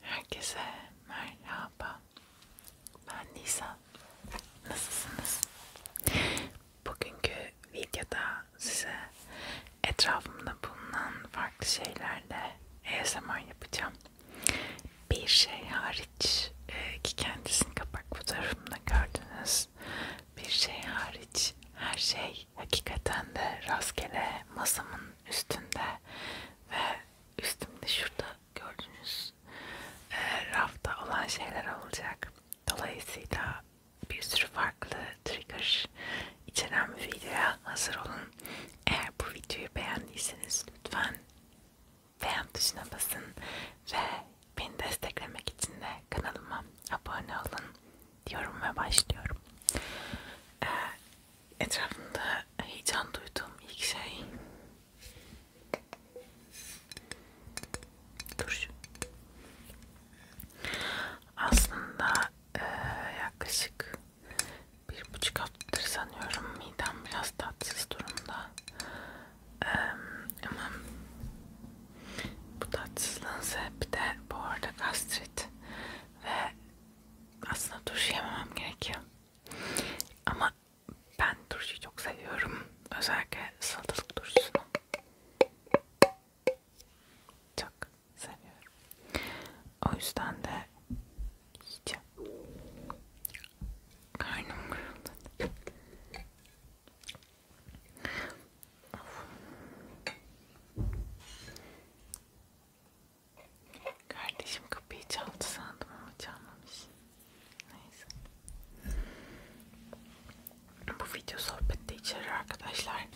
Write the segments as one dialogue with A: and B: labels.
A: Herkese merhaba. Ben Nisan. Nasılsınız? Bugünkü videoda size etrafımda bulunan farklı şeylerle ASMR yapacağım. Bir şey hariç e, ki kendisini kapak fotoğrafımda gördünüz. Bir şey hariç her şey hakikaten de rastgele masamın üstünde ve üstümde şurada gördüğünüz e, rafta olan şeyler olacak. Dolayısıyla bir sürü farklı trigger içeren bir videoya hazır olun. Eğer bu videoyu beğendiyseniz lütfen beğen tuşuna basın ve beni desteklemek için de kanalıma abone olun diyorum ve başlıyorum. Ee, etrafında heyecan duyduğum ilk şey turşu. Aslında e, yaklaşık bir buçuk haftadır sanıyorum midem biraz tatsız durumda. E, ama bu tatsızlığın sebebi de bu arada gastrit ve aslında turşu yememem gerekiyor. Ama ben turşuyu çok seviyorum. Özellikle salatalık turşusunu. Çok seviyorum. O yüzden de yiyeceğim. Karnım kırıldı. Of. Kardeşim kapıyı çaldı sandım ama çalmamış. Neyse. Bu video sohbette içerir arkadaşlar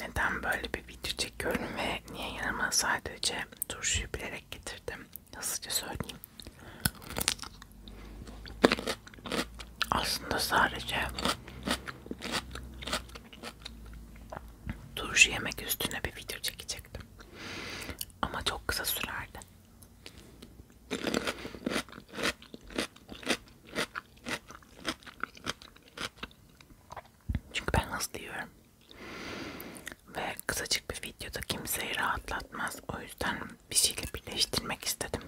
A: neden böyle bir video çekiyorum ve niye yanıma sadece turşuyu bilerek getirdim hızlıca söyleyeyim aslında sadece turşu yemek üstüne bir video çekecektim ama çok kısa sürerdi çünkü ben hızlı yiyorum ve kısacık bir videoda kimseyi rahatlatmaz. O yüzden bir şeyle birleştirmek istedim.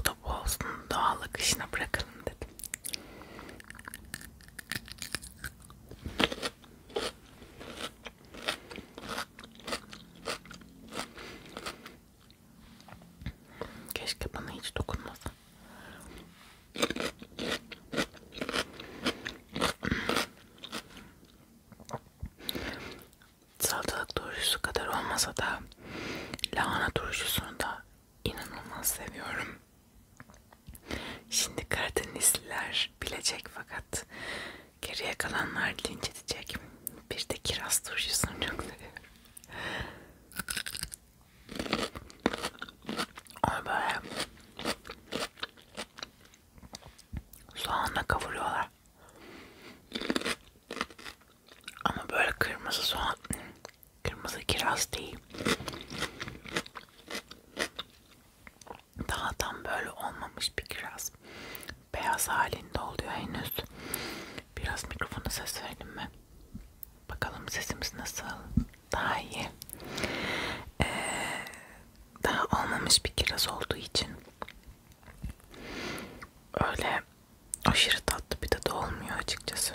A: O da bu olsun. Doğal akışına bırakalım dedim. Keşke bana hiç dokunmasa. Salatalık turşusu kadar olmasa da lahana turşusunu da inanılmaz seviyorum. Şimdi Karadenizliler bilecek fakat geriye kalanlar linç edecek. Bir de kiraz turşusunu çok seviyorum. Onu böyle soğanla kavuruyorlar. Ama böyle kırmızı soğan, kırmızı kiraz değil. Daha tam böyle olmamış bir kiraz. Beyaz halinde oluyor henüz. Biraz mikrofona ses verdim mi? Bakalım sesimiz nasıl? daha iyi. Ee, daha olmamış bir kiraz olduğu için öyle aşırı tatlı bir tadı olmuyor açıkçası.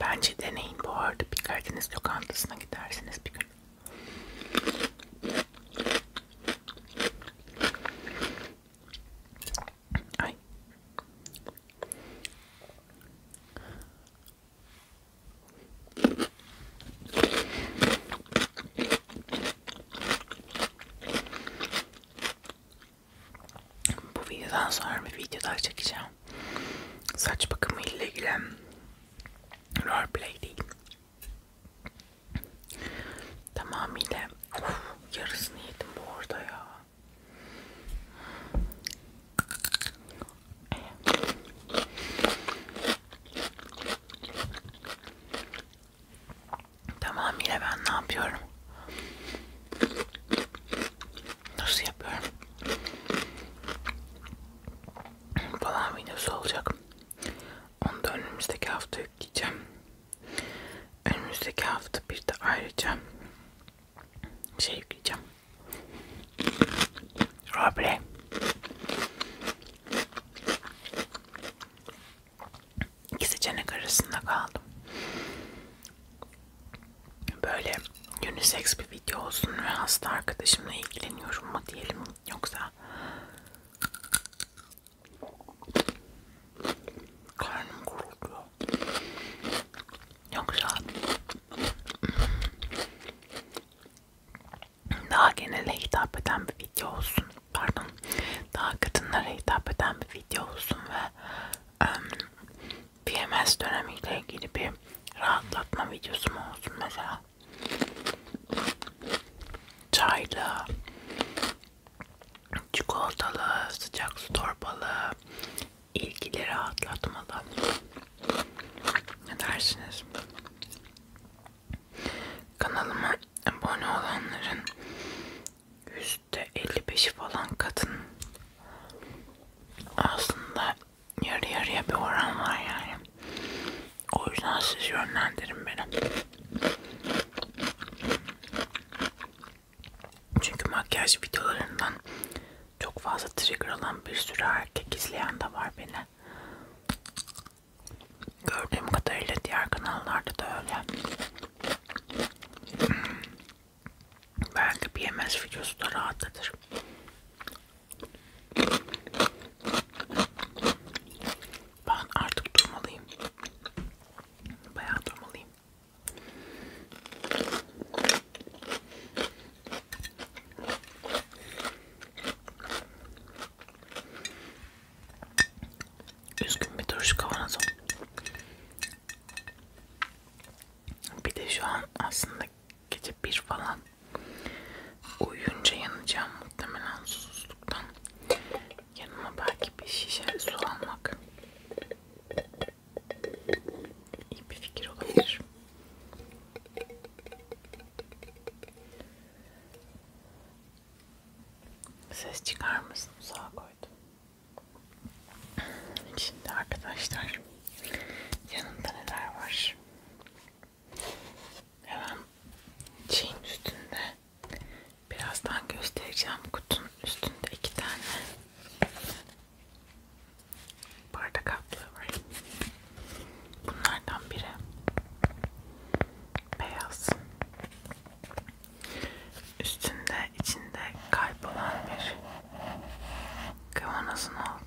A: Bence deneyin bu arada bir Karadeniz lokantasına gidersiniz bir gün. はい bu videodan sonra bir video daha çekeceğim saç bakımı ile ilgili roleplay değil Tamamıyla of, yarısını yedim bu arada ya. Tamamıyla ben ne yapıyorum? Nasıl yapıyorum? Falan videosu olacak. Onu da önümüzdeki hafta yükleyeceğim. Önümüzdeki hafta bir de ayrıca şey yükleyeceğim. Roble. İki seçenek arasında kaldım. Böyle unisex bir video olsun ve hasta arkadaşımla ilgileniyorum mu diyelim yoksa Karnım kuruluyor. Yoksa daha genele hitap eden bir video olsun. Pardon. Daha kadınlara hitap eden bir video olsun ve PMS dönemiyle ilgili bir rahatlatma videosu mu olsun mesela çaylı, çikolatalı, sıcak su torbalı, ilgileri rahatlatmalı. Ne dersiniz? Kanalıma abone olanların %55'i falan kadın. Aslında yarı yarıya bir oran var yani. O yüzden siz yönlendirin beni. Çünkü makyaj videolarından çok fazla trigger alan bir sürü erkek izleyen de var beni. Gördüğüm kadarıyla diğer kanallarda da öyle. Hmm. Belki bir yemek videosu da rahatlatır. Ben artık durmalıyım. Bayağı durmalıyım. Üzgün bir turşu kavanozum. Bir de şu an aslında gece bir falan uyuyunca yanacağım muhtemelen susuzluktan yanıma belki bir şişe su almak iyi bir fikir olabilir ses çıkar mısın uzağa koydum şimdi arkadaşlar yanımda neler var Hemen şeyin üstünde birazdan göstereceğim kutunun üstünde iki tane bardak altlığı var. Bunlardan biri beyaz. Üstünde içinde kaybolan bir kavanozun olduğu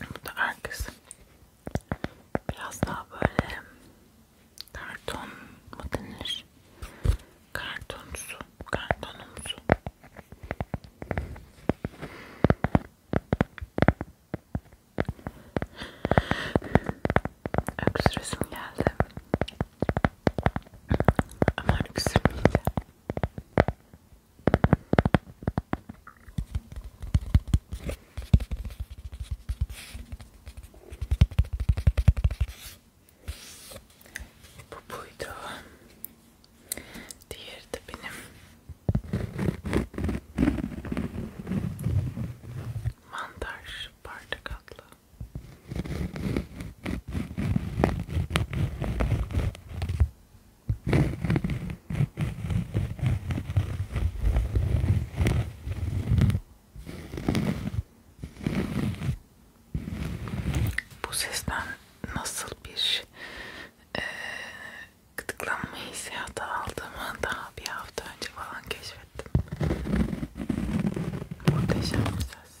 A: Bu da arkası. Biraz daha böyle karton mu denir? Kartonsu, kartonumsu. Öksüresim geldi. Ama öksürmeyeceğim. Bu buydu. Diğeri de benim mantar bardak adlı. Bu sesten nasıl bir e, gıdıklanma hissiyatı aldığımı daha bir hafta önce falan keşfettim. Muhteşem bir ses.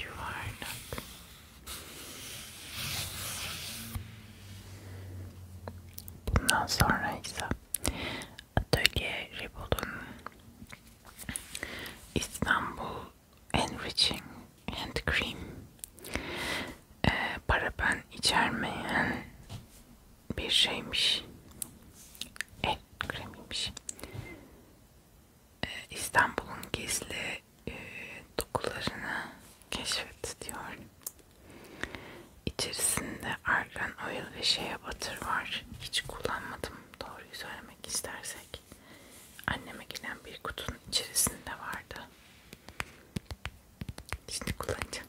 A: You are not. Bundan sonra ise Atölye Ribol'un İstanbul Enriching Hand Cream paraben içermeyen bir şeymiş. El kremiymiş. Ee, İstanbul'un gizli e, dokularını keşfet diyor. İçerisinde argan, oil ve şeye batır var. Hiç kullanmadım doğruyu söylemek istersek. Anneme gelen bir kutunun içerisinde vardı. Şimdi kullanacağım.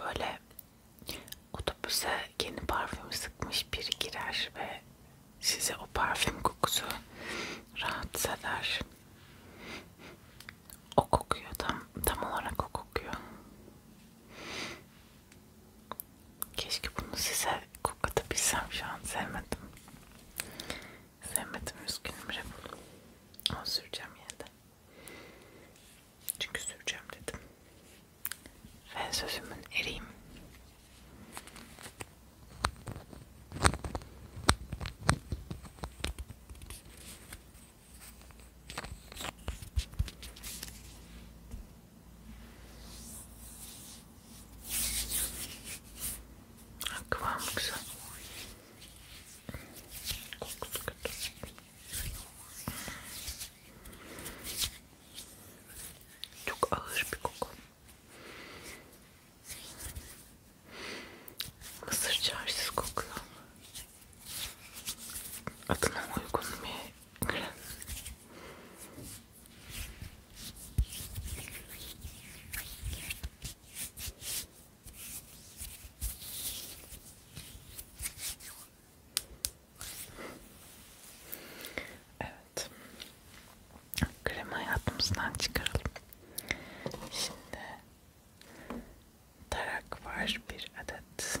A: Böyle otobüse yeni parfüm sıkmış biri girer ve size o parfüm kokusu rahatsız eder. O kokuyor tam tam olarak o kokuyor. Keşke bunu size koklatabilsem şu an sevmedim. Sevmedim üzgünüm Rebul. Ama süreceğim yine de. Çünkü süreceğim dedim. Ve sözümün eriyim. Kıvamı güzel. Kokusu kötü. Çok ağır bir koku. Mısır çarşısı kokuyor adına uygun bir krem. Evet. Kremi hayatımızdan çıkaralım. Şimdi tarak var bir adet.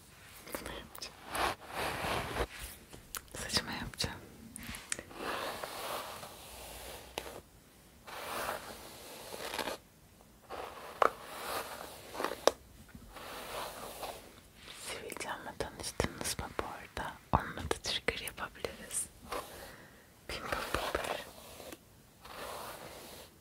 A: Bunu yapacağım. Saçıma yapacağım. Sivilcan'la tanıştınız mı bu arada? Onunla da trigger yapabiliriz. Pimple popper.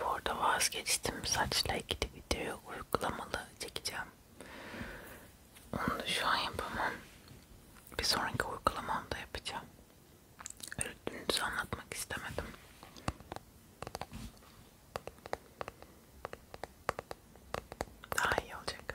A: Bu arada vazgeçtim saçla ilgili video uygulamalı çekeceğim. Onu da şu an yapamam. Bir sonraki uygulamamda yapacağım. Ürününüzü anlatmak istemedim. Daha iyi olacak.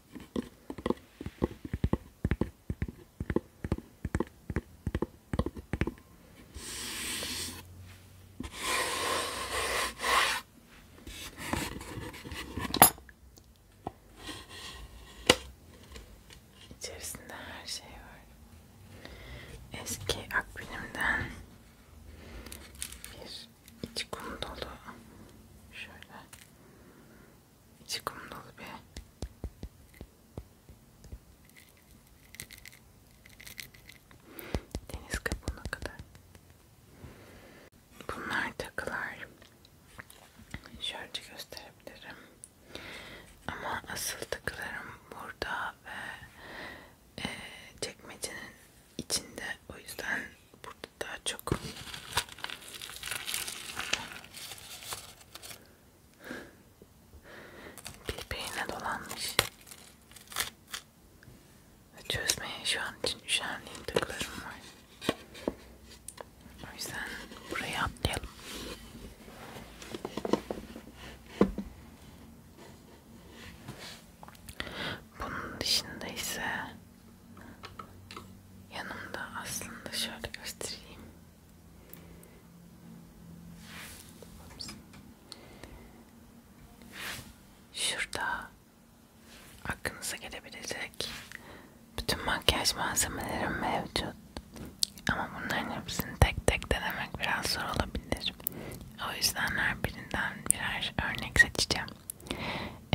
A: İçerisinde her şey var. Eski akbil'imden bir içi kum dolu şöyle içi kum dolu bir deniz kabuğuna kadar bunlar takılar şöyle gösterebilirim ama asıl takılarım burada ve e, çekmecenin içinde o yüzden Burada daha çok. Birbirine dolanmış. Çözmeye şu an için üşenliğim tıklarım var. O yüzden burayı atlayalım. Bunun dışında ise yanımda aslında şöyle göstereyim şurada aklınıza gelebilecek bütün makyaj malzemelerim mevcut ama bunların hepsini tek tek denemek biraz zor olabilir o yüzden her birinden birer örnek seçeceğim e,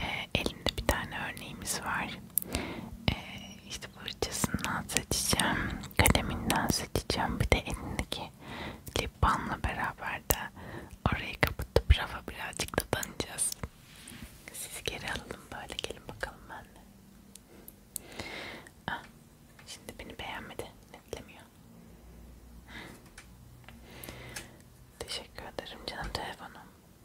A: ee, elimde bir tane örneğimiz var. E, işte fırçasından seçeceğim, kaleminden seçeceğim. Bir de elindeki lip balmla beraber de orayı kapatıp rafa birazcık da danacağız. Sizi geri alalım böyle. Gelin bakalım benimle. Ah, şimdi beni beğenmedi. Netlemiyor. Teşekkür ederim canım telefonum.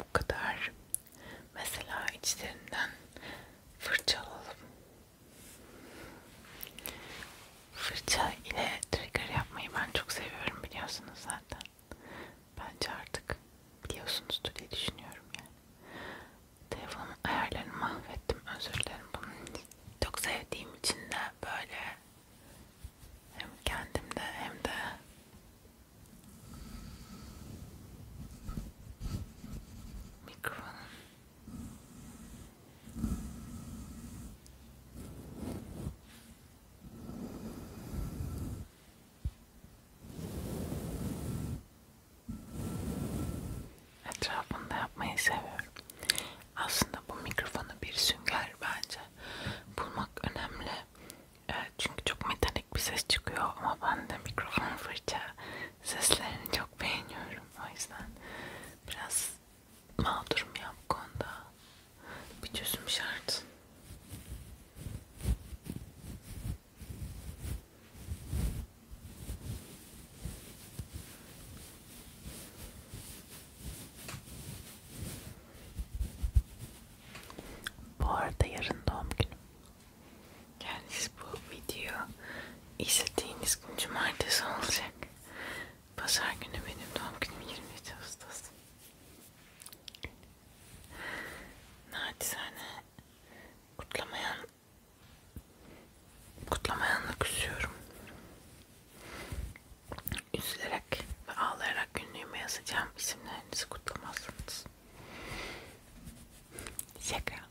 A: Bu kadar. Mesela içlerinden fırçalalım. Fırça ile trigger yapmayı ben çok seviyorum biliyorsunuz zaten. Bence artık biliyorsunuzdur diye düşünüyorum yani. Telefonun ayarlarını mahvettim. Özür dilerim bunun için. Çok sevdiğim için de böyle hem kendimde hem de mikrofonun Etrafında yapmayı seviyorum. Aslında bu mikrofonu bir sünger bence. Bulmak önemli. Çünkü çok metalik bir ses çıkıyor ama ben de mikrofon fırça seslerini çok beğeniyorum. O yüzden biraz mağdurum ya bu konuda. Bir çözüm şart. Bu arada yarın doğum günüm. Yani siz bu video izlediğiniz gün cumartesi olacak. Pazar günü benim doğum günüm 23 Ağustos. Naçizane kutlamayan kutlamayanla küsüyorum. Üzülerek ve ağlayarak günlüğüme yazacağım isimlerinizi kutlamazsınız. Şaka.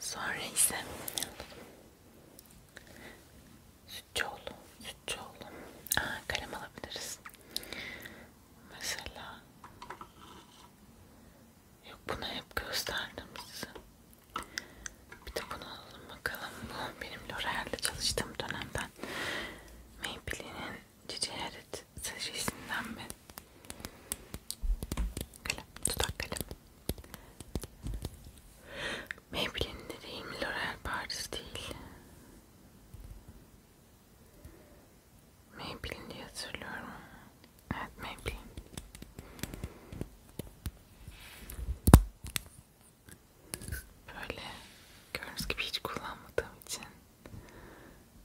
A: Sonra ise Sütçüoğlu, Sütçüoğlu. Aa, kalem alabiliriz. Mesela yok bunu hep gösterdim size. Bir de bunu alalım bakalım. Bu benim L'Oreal'de çalıştığım dönemden Maybelline'in Cici Herit serisinden bir Kalem, tutak kalem. Maybelline de değil mi? L'Oreal Paris değil. Maybelline diye hatırlıyorum. Evet Maybelline. Böyle gördüğünüz gibi hiç kullanmadığım için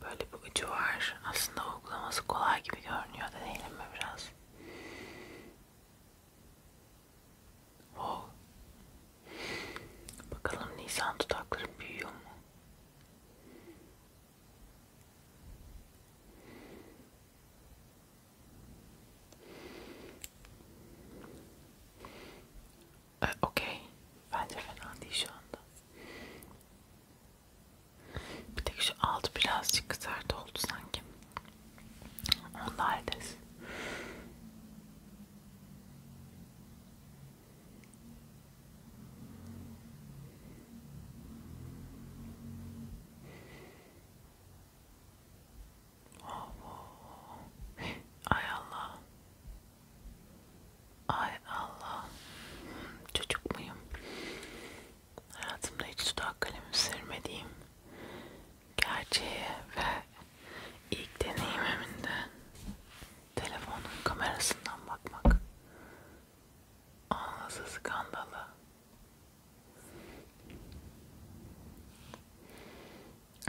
A: böyle bir ucu var. Aslında uygulaması kolay gibi görünüyor da değil mi biraz? Oh. Bakalım Nisan tutaklarım büyüyor mu? Ee, Okey. Bence fena değil şu Bir tek şu altı birazcık kızart oldu sanki. Onu da hallederiz. Oh, oh. Ay Allah. Ay Allah. Çocuk muyum? hayatımda hiç dudak kalemi sürmediğim gerçeğe ve ilk deneyimimde telefonun kamerasından bakmak anası skandalı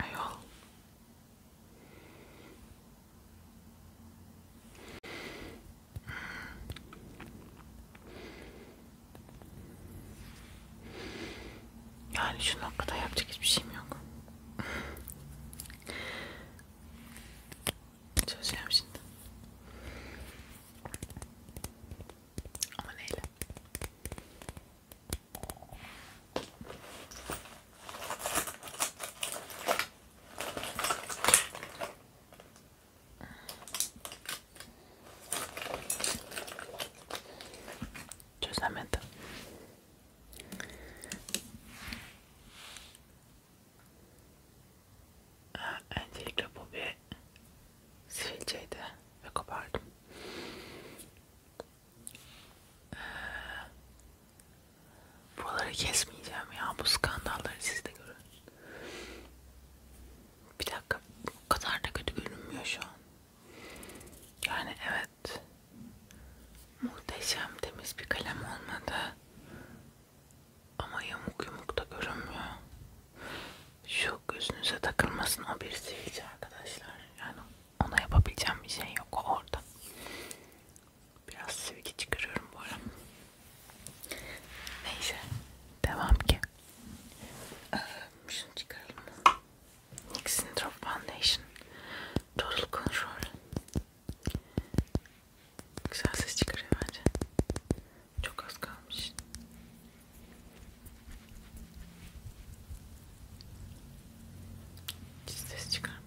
A: ayol yani şu noktada yapacak hiçbir şeyim yok. Çözeceğim şimdi. Ama neyle? Çözemedim. Ee, öncelikle bu bir sivilceydi ve kopardım. Ee, buraları kesmeyeceğim ya. Bu skandalları siz de görün. Bir dakika o kadar da kötü görünmüyor şu an. Yani evet muhteşem temiz bir kalem olmadı. Ama yamuk yumuk da görünmüyor. Şu gözünüze takılmasın o bir sivilce arkadaşlar. Yani ona yapabileceğim bir şey yok o orada. Biraz sivilce çıkarıyorum bu ara. Neyse. Devam ki. Ee, şunu çıkaralım. Nixon Drop Foundation. Total Control. Güzel ses çıkarıyor bence. Çok az kalmış. Hiç ses çıkarmıyor.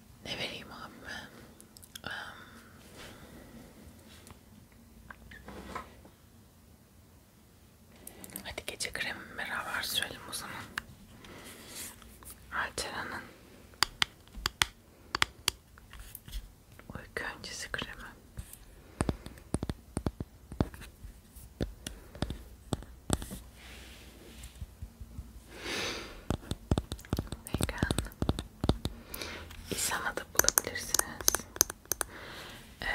A: ne vereyim abime um, hadi gece kremi beraber sürelim o zaman Altera'nın uyku öncesi kremi Vegan İsa'na da bulabilirsiniz. Ee,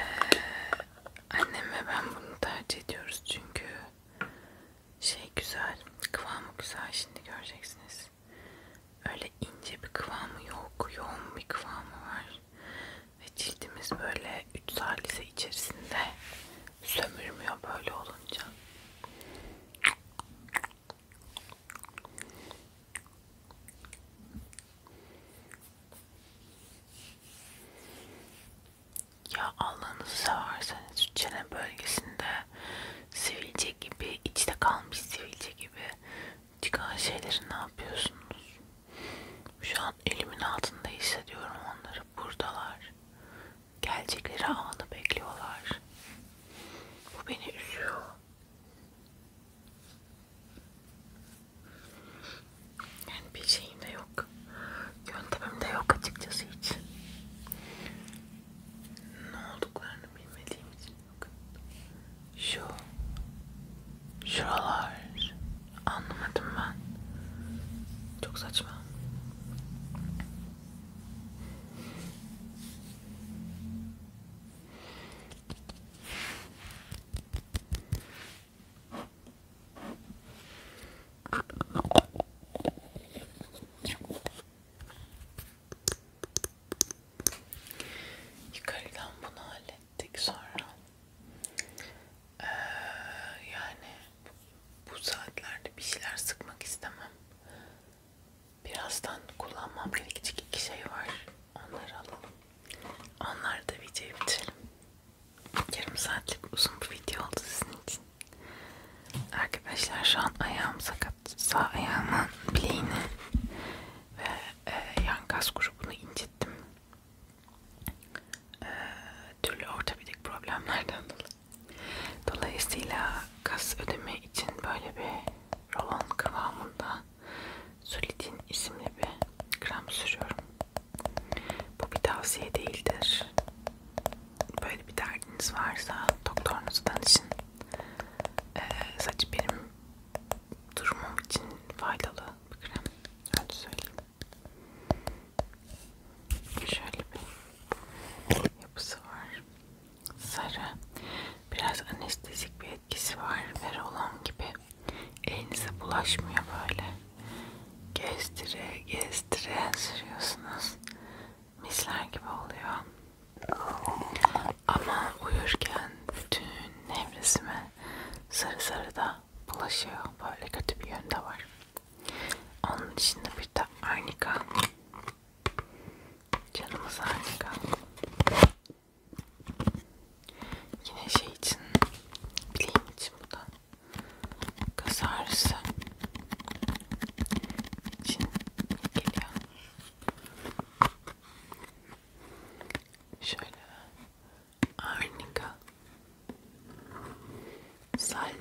A: annem ve ben bunu tercih ediyoruz çünkü şey güzel, kıvamı güzel şimdi göreceksiniz. Öyle ince bir kıvamı yok, yoğun bir kıvamı var. Ve cildimiz böyle 3 salise içerisinde sömürmüyor böyle olunca. Ya Allah'ınızı severseniz çene bölgesinde sivilce gibi, içte kalmış sivilce gibi çıkan şeyleri ne yapıyorsunuz? Şu an elimin altında hissediyorum onları. Buradalar gelecekleri anı bekliyorlar. Bu beni üzüyor. Yani bir şeyim de yok. Yöntemim de yok açıkçası hiç. Ne olduklarını bilmediğim için yok. Şu, şuralar anlamadım ben. Çok saçma. Yukarıdan bunu hallettik sonra. Ee, yani bu saatlerde bir şeyler sıkmak istemem. Birazdan kullanmam gerekecek iki şey var. Onları alalım. Onları da videoyu bitirelim. Yarım saatlik uzun bir video oldu sizin için. Arkadaşlar şu an ayağım sakat. Sağ ayağımın bileğini ve e, yan kas grubunu incittim. E, türlü ortopedik problemlerden dolayı. Dolayısıyla kas ödemi için böyle bir rolon kıvamında Sulidin isimli bir krem sürüyorum. Bu bir tavsiye değildir. Böyle bir derdiniz varsa doktorunuza danışın. Ee, saç benim durumum için faydalı bir krem. Öyle söyleyeyim. Şöyle bir yapısı var. Sarı. Biraz anestezik bir etkisi var. Verolam gibi. Elinize bulaşmıyor böyle. Gezdire gezdire sürüyorsunuz. Misler gibi oluyor. Ama uyurken bütün nevresime sarı sarı da bulaşıyor. Böyle kötü bir yönde var. Onun içinde bir de arnika. Canımız arnika. Yine şey için, bileğim için bu da. Kas ağrısı için geliyor. Şöyle arnika. Salde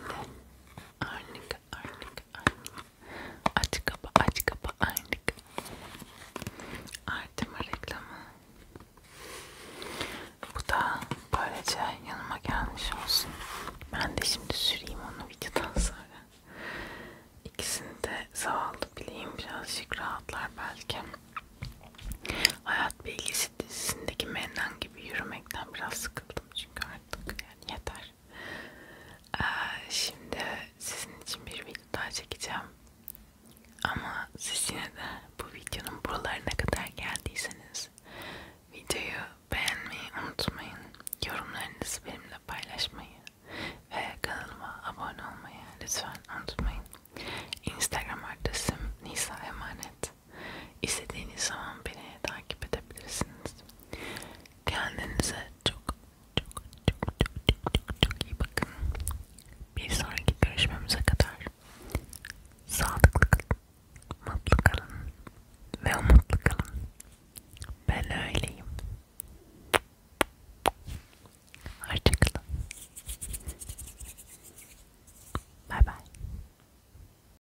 A: Arnika, Arnika, Arnika. Aç kapa, aç kapa, Arnika. Artema reklamı. Bu da böylece yanıma gelmiş olsun. Ben de şimdi süreyim onu videodan sonra. İkisini de zavallı bileyim birazcık rahatlar belki. Hayat Bilgisi dizisindeki Mennan gibi yürümekten biraz sıkıldım çünkü artık yani yeter. Ee, şimdi sizin için bir video daha çekeceğim. Ama siz yine de bu videonun buralarına kadar geldiyseniz videoyu beğenmeyi unutmayın. Yorumlarınızı benimle paylaşmayı ve kanalıma abone olmayı lütfen unutmayın. Instagram adresim Nisa Emanet. İstediğiniz zaman beni takip edebilirsiniz. Kendinize çok çok çok çok çok çok, çok iyi bakın. Bir sonraki görüşmemize kadar sağlıklı kalın, mutlu kalın ve umutlu kalın. Ben öyleyim. Hoşçakalın. Bye bye.